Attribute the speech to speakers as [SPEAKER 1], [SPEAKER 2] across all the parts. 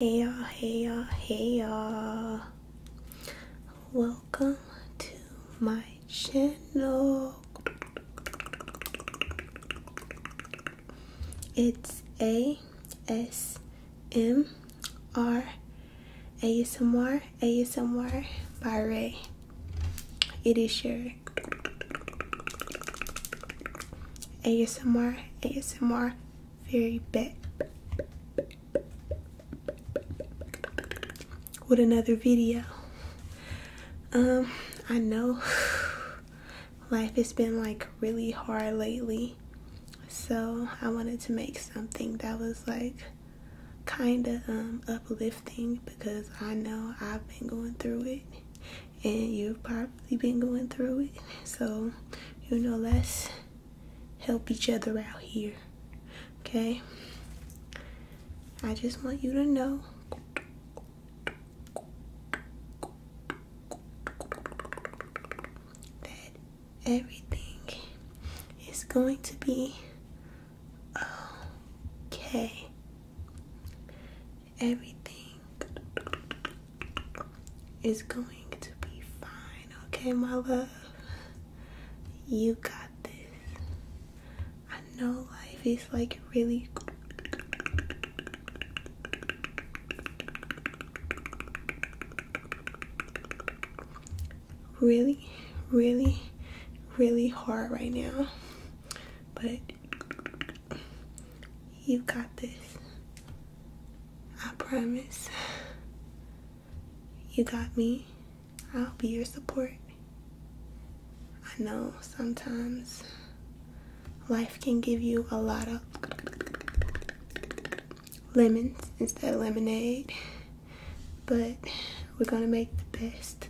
[SPEAKER 1] Hey y'all, hey y'all, hey y'all. Welcome to my channel. It's A S M R by Ray. It is your A S M R A S M R very bad. With another video. Um, I know life has been like really hard lately. So I wanted to make something that was like kind of um, uplifting because I know I've been going through it and you've probably been going through it. So, you know, let's help each other out here. Okay? I just want you to know that everything is going to be okay. Everything is going to be fine, okay, my love? You got this. I know life is like really really really really hard right now but you got this. I promise. You got me. I'll be your support. I know sometimes life can give you a lot of lemons instead of lemonade, but we're gonna make the best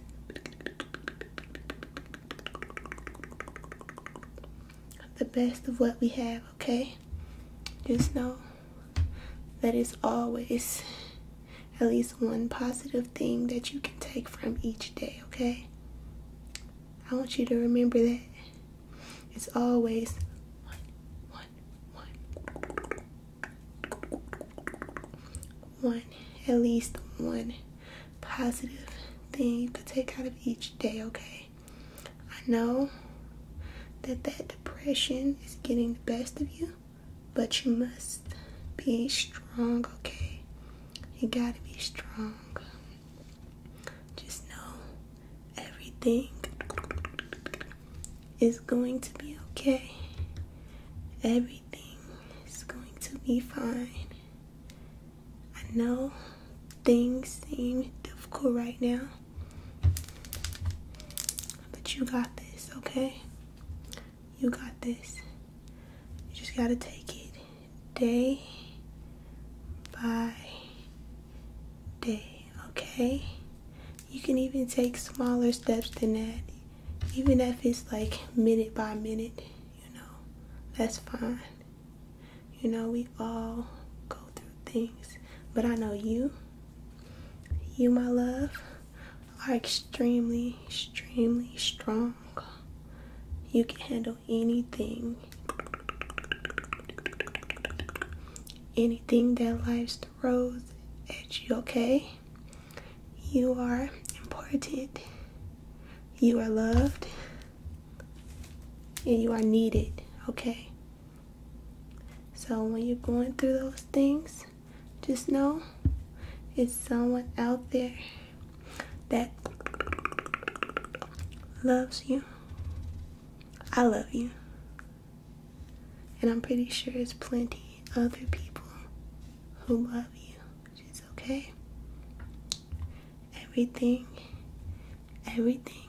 [SPEAKER 1] the best of what we have, okay? Just know that it's always at least one positive thing that you can take from each day, okay? I want you to remember that. It's always one, one, one. at least one positive thing to take out of each day, okay? I know that that depression is getting the best of you, but you must be strong, okay? You gotta be strong. Just know everything is going to be okay. Everything is going to be fine. I know things seem difficult right now, but you got this, okay? You got this. You just gotta take it day by day, okay? You can even take smaller steps than that, even if it's like minute by minute you know, that's fine. You know, we all go through things. But I know you, you, my love, are extremely, extremely strong. You can handle anything. Anything that life throws at you, okay? You are important. You are loved. And you are needed, okay? So when you're going through those things, just know it's someone out there that loves you. I love you. And I'm pretty sure it's plenty other people who love you. It's okay. Everything, everything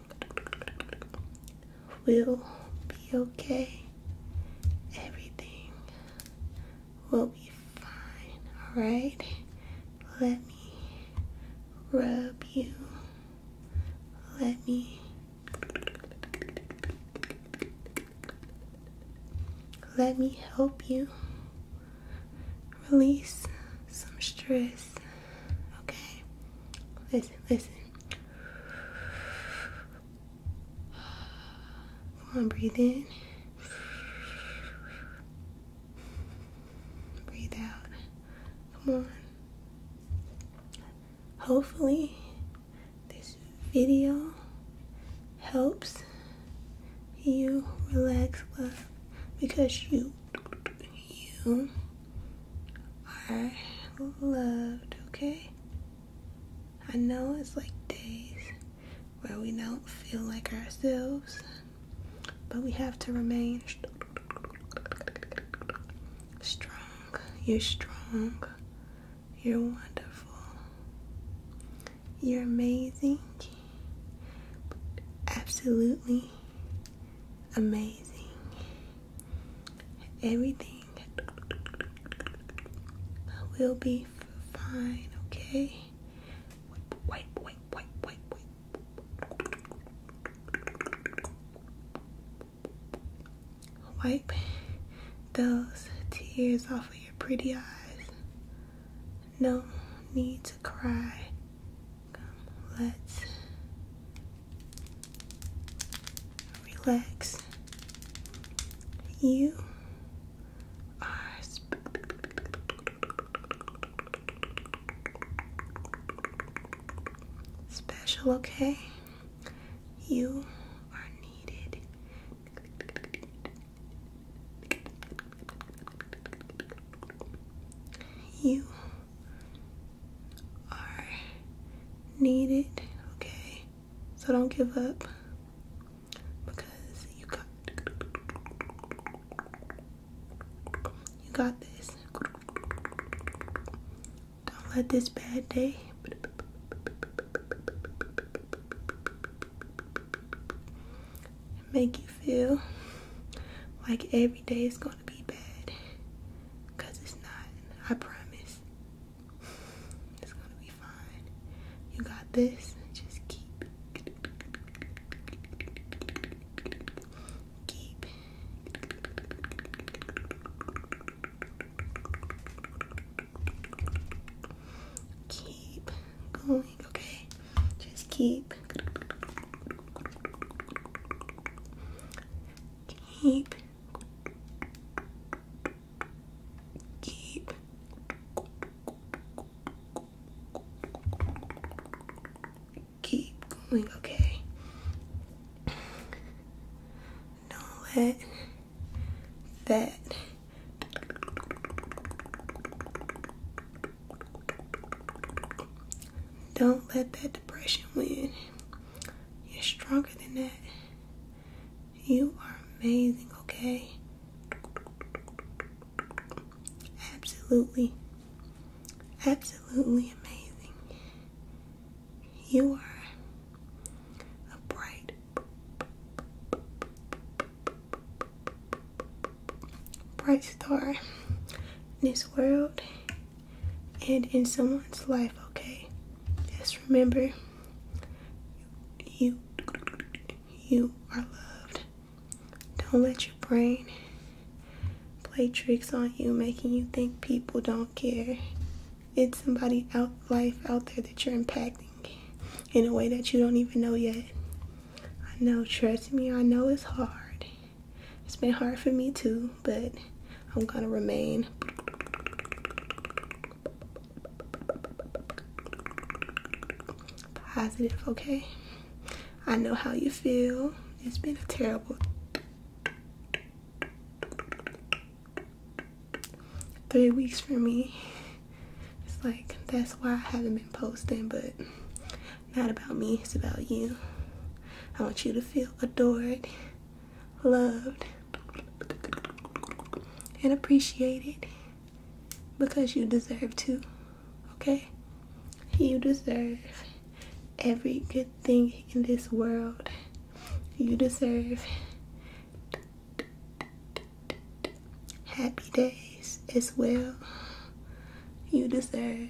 [SPEAKER 1] will be okay. Everything will be fine, alright? Let me rub you. Let me let me help you release some stress. Okay? Listen, listen. Come on, breathe in. Breathe out. Come on hopefully this video helps you relax love because you you are loved okay I know it's like days where we don't feel like ourselves but we have to remain strong you're strong you're wonderful. You're amazing. Absolutely amazing. Everything will be fine, okay? Wipe those tears off of your pretty eyes. No need to cry. let's relax. You are special, okay? You are needed. You are needed, okay? So don't give up because you got you got this. Don't let this bad day make you feel like every day is going to be bad. Because it's not. I promise. It's going to be fine. You got this. Just keep. Keep. Keep going, okay? Just keep. Keep. Keep keep going, okay? Don't let that don't let that depression win. You're stronger than that. You are amazing, okay? Absolutely, absolutely amazing. You are a bright, bright star in this world and in someone's life, okay? Just remember you you are loved. Don't let your brain play tricks on you, making you think people don't care. It's somebody out life out there that you're impacting in a way that you don't even know yet. I know, trust me, I know it's hard. It's been hard for me too, but I'm gonna remain positive, okay? I know how you feel. It's been a terrible three weeks for me. It's like, that's why I haven't been posting, but not about me, it's about you. I want you to feel adored, loved, and appreciated because you deserve to. Okay? You deserve every good thing in this world. You deserve happy days as well. You deserve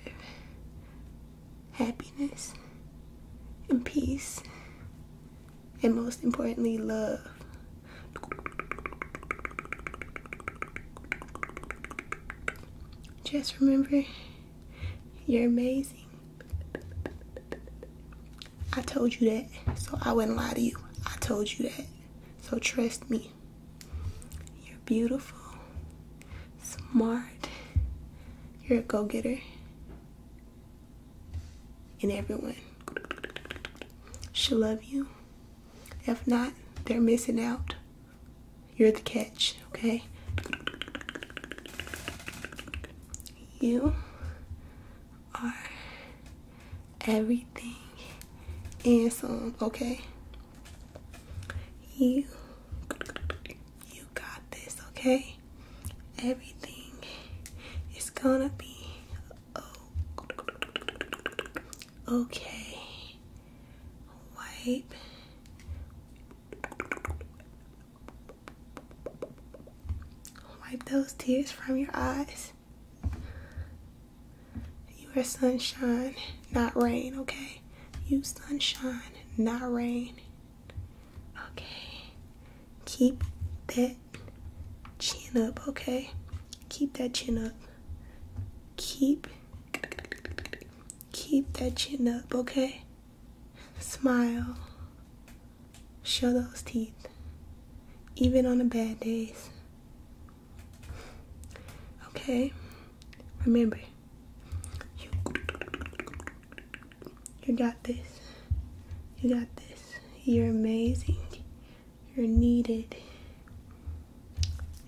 [SPEAKER 1] happiness and peace and most importantly love. Just remember, you're amazing. I told you that, so I wouldn't lie to you. I told you that, so trust me. You're beautiful, smart, you're a go getter, and everyone should love you. If not, they're missing out. You're the catch, okay? You are everything and some, okay? You, you got this, okay? Everything is gonna be Okay. Wipe. Wipe those tears from your eyes. You are sunshine, not rain, okay? You sunshine, not rain. Okay. Keep that chin up, okay? Keep that chin up. Keep keep that chin up, okay? Smile. Show those teeth. Even on the bad days. Okay? Remember, you, got this. You got this. You're amazing. You're needed.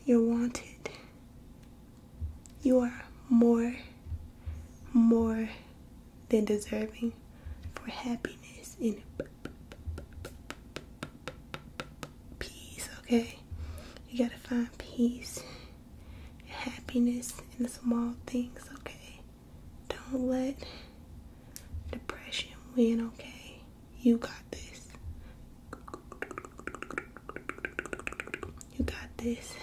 [SPEAKER 1] You're wanted. You are more, more than deserving for happiness and peace, okay? You gotta find peace, happiness in the small things, okay? Don't let depression win, okay? You got this. You got this.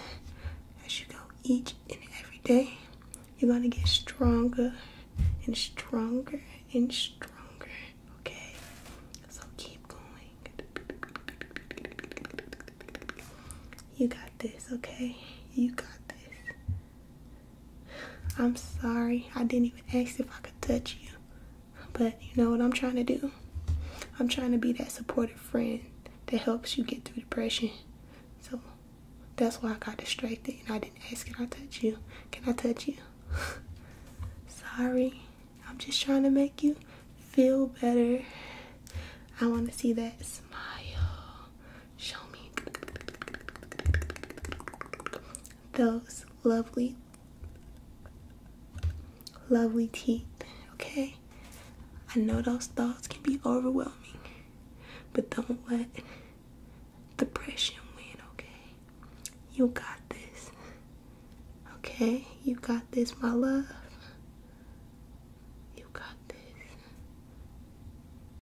[SPEAKER 1] As you go each and every day, you're going to get stronger and stronger and stronger. Okay? So keep going. You got this, okay? You got this. I'm sorry. I didn't even ask if I could touch you. But you know what I'm trying to do? I'm trying to be that supportive friend that helps you get through depression. So that's why I got distracted and I didn't ask, if I touch you? Can I touch you? sorry. I'm just trying to make you feel better. I want to see that smile show me those lovely, lovely teeth, okay? I know those thoughts can be overwhelming, but don't let depression win, okay? You got this, okay? You got this, my love. You got this.